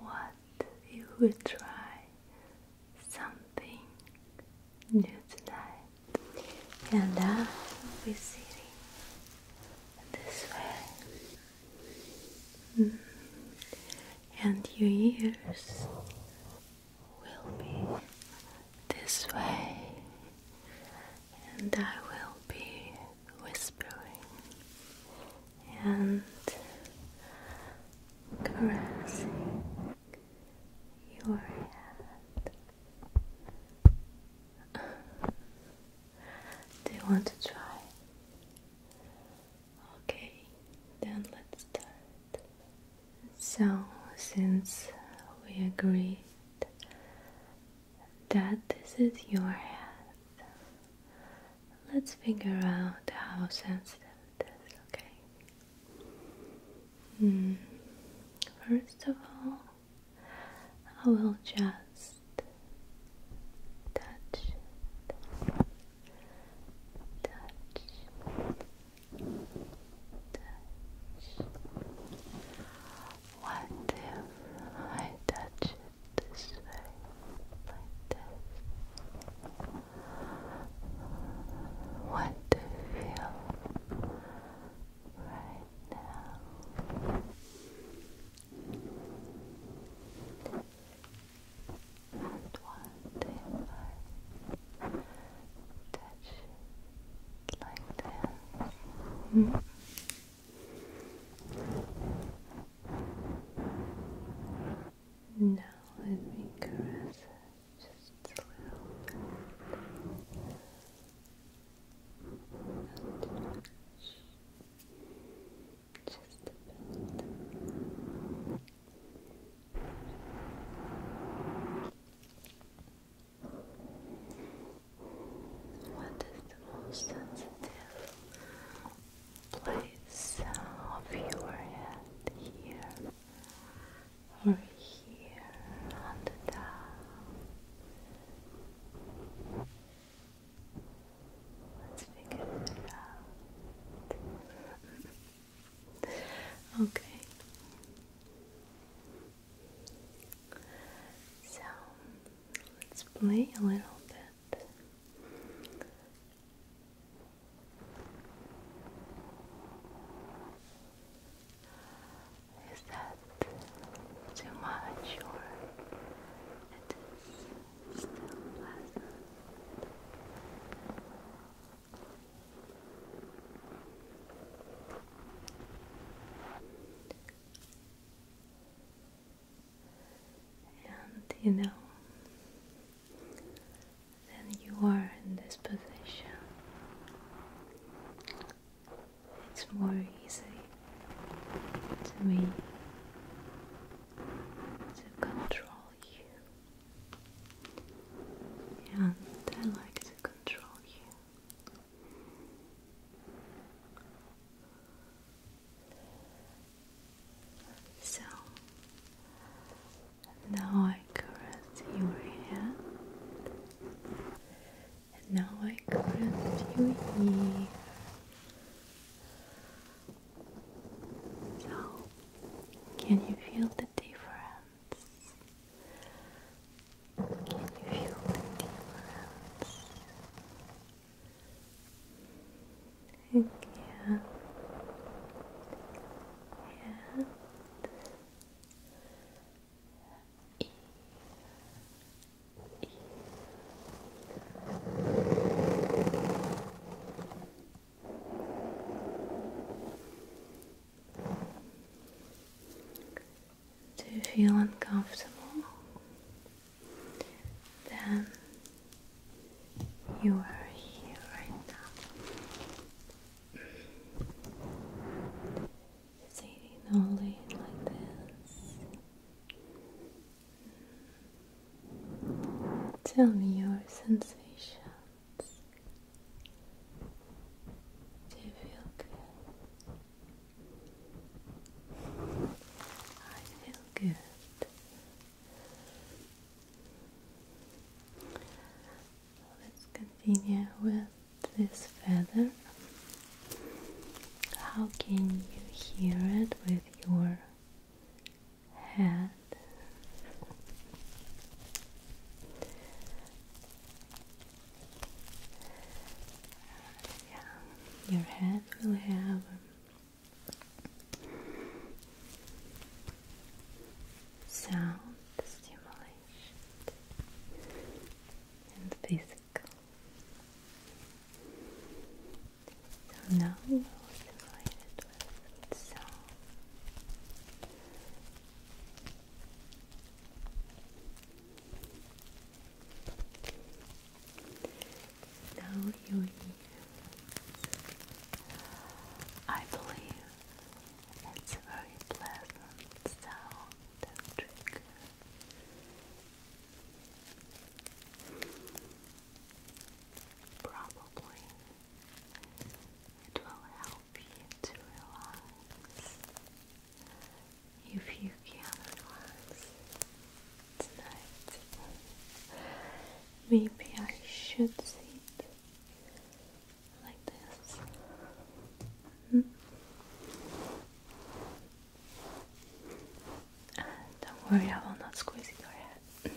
What if we try something new tonight? And I will be sitting this way, mm-hmm. and your ears will be this way, and I will be whispering and caressing your hand. Do you want to try? Okay, then let's start. So, since we agreed that this is your hand. Let's figure out how sensitive it is, okay? Hmm. First of all, I will just touch Touch. Touch. What if I touch this way, like this. What do you feel right now? And what if I touch like this? -hmm. Now let me caress it just a little bit. And just a bit. What is the most sensitive place of your head here or here on the Let's figure it out. okay. So let's play a little bit that. Is that too much or it is still pleasant? and you know, then you are in this position. It's more easy to me to control you, and I like to control you. So now I caress your head, and now I caress your ear. So, can you feel the difference? Can you feel the difference? Thank your hand do you feel uncomfortable? then you are here right now. Sitting only like this. Tell me your sensations. Do you feel good? I feel good. Let's continue with this feather. How can you hear it with your head? Yeah, your head will have sound stimulation and physical. So now we will stimulate with sound. Now you I believe it's a very pleasant sound and trick. Probably it will help you to relax if you can relax. Maybe I should sit like this. Hmm? don't worry, I will not squeeze your head.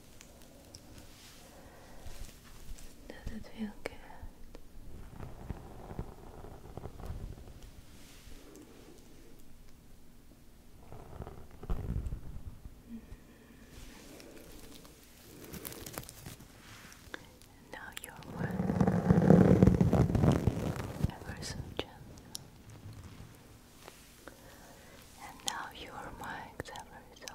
Does it feel good? Mm-hmm. now you're one ever so gentle. And now your mind ever so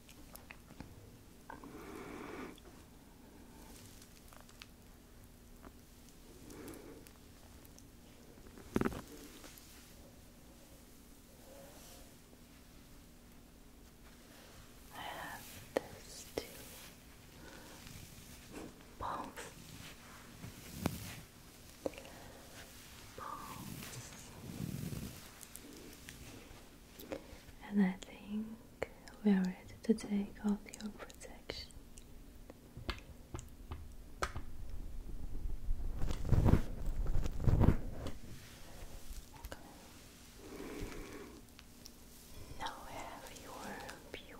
I have this Both. Both. And I think we are ready to take off your protection. Now we have your pure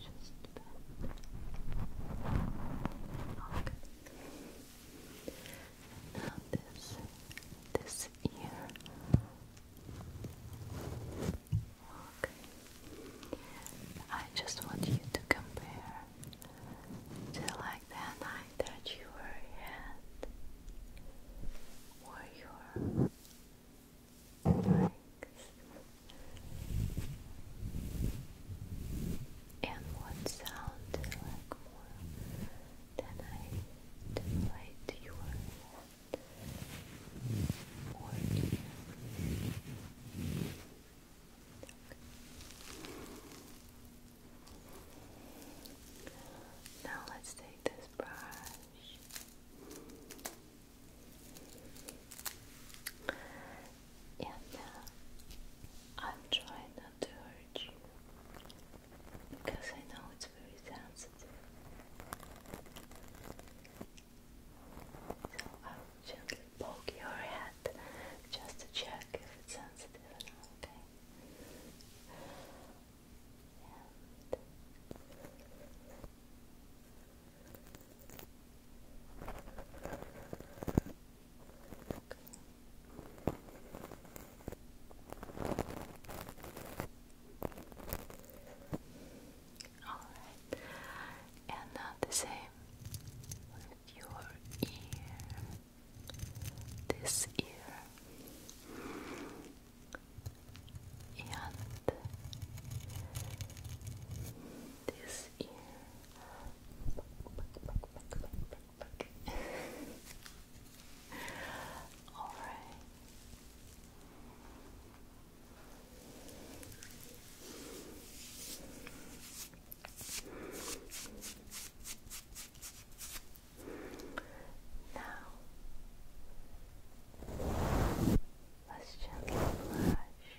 just bend. Okay. Now this this ear. Okay. I just want you to compare. Till like that night that you were at, or your and what sound you like more than I stimulate your or Now let's take this brush and uh, I'm trying not to hurt you because I know it's very sensitive. So I'll gently poke your head just to check if it's sensitive or not, okay? Alright, and uh, the same with your ear, this ear, and this ear, all right. Now, let's gently flash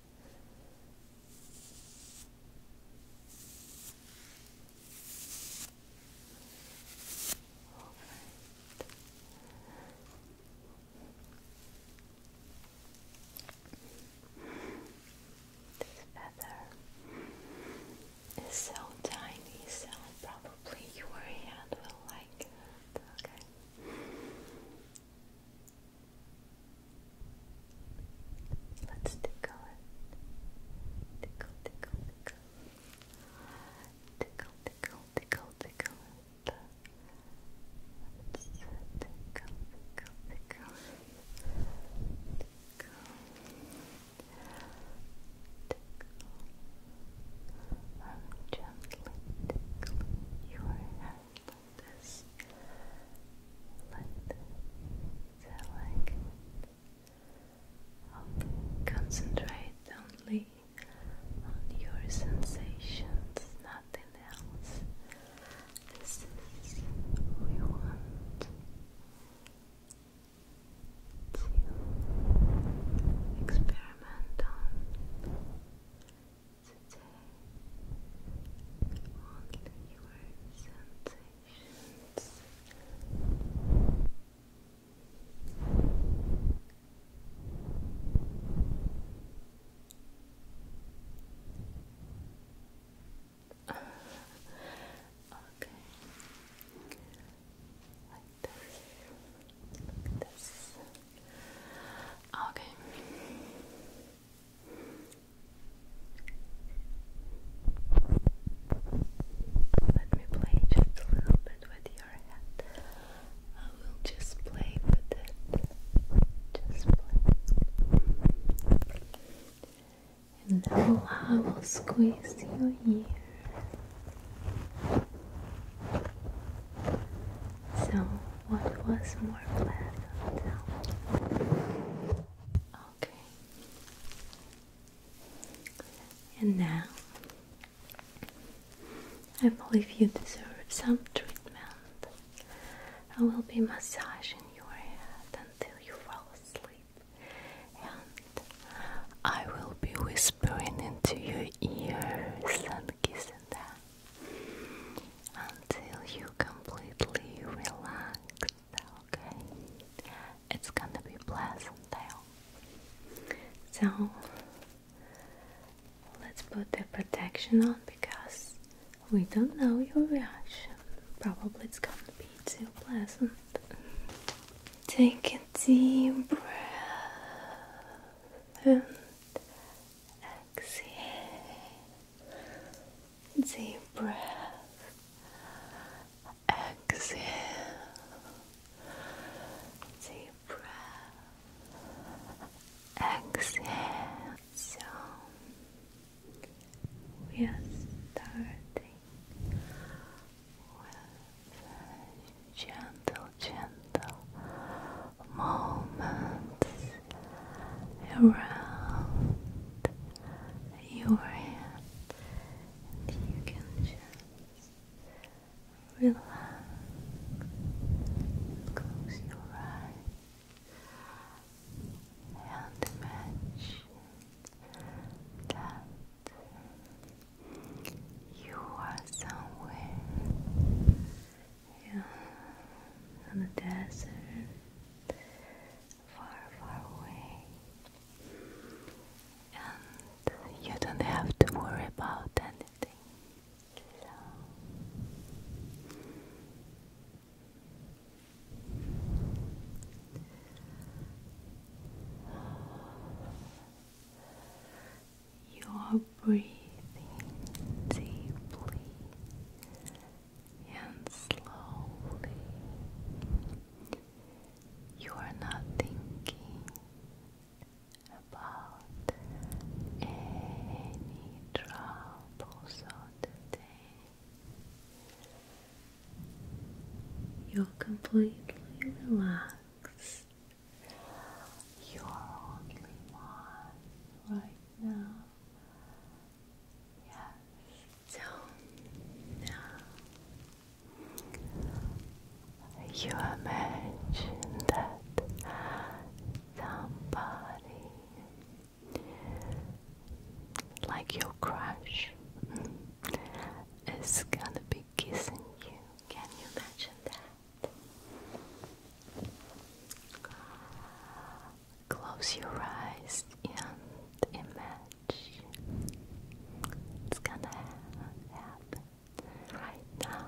All right. This feather is so tiny, so probably your hand will like Let's tickle it. Tickle, tickle, tickle. Tickle, tickle, tickle, tickle tickle, I'm gently tickling your let this let the leg okay. concentrate only on your sensations, nothing else. This is what we want to experiment on only your sensations. okay. Like this. this. Okay. Let me play just a little bit with your head. I will just play with it. Just play. And now I will squeeze your ear. So, what was more pleasant? Okay. And now I believe you deserve some treatment. I will be massaging your head until you fall asleep, and I will be whispering into your ears and kissing them until you completely relax, okay? It's gonna be pleasant So let's put the protection on because we don't know your reaction. Probably it's gonna be too pleasant. Take a deep breath and exhale deep breath. Exhale. Deep breath. Exhale. So we are starting with gentle, gentle moments around your head, you can just relax. Close your eyes and imagine that you are somewhere yeah, the desert far, far away. And you don't have to worry about anything. You are breathing deeply and slowly. You are not thinking about any troubles of the day. You're completely relaxed. You're only one right now. Yes. So you imagine that somebody like your crush is gonna be kissing you. Can you imagine that? Close your eyes and imagine it's gonna happen right now.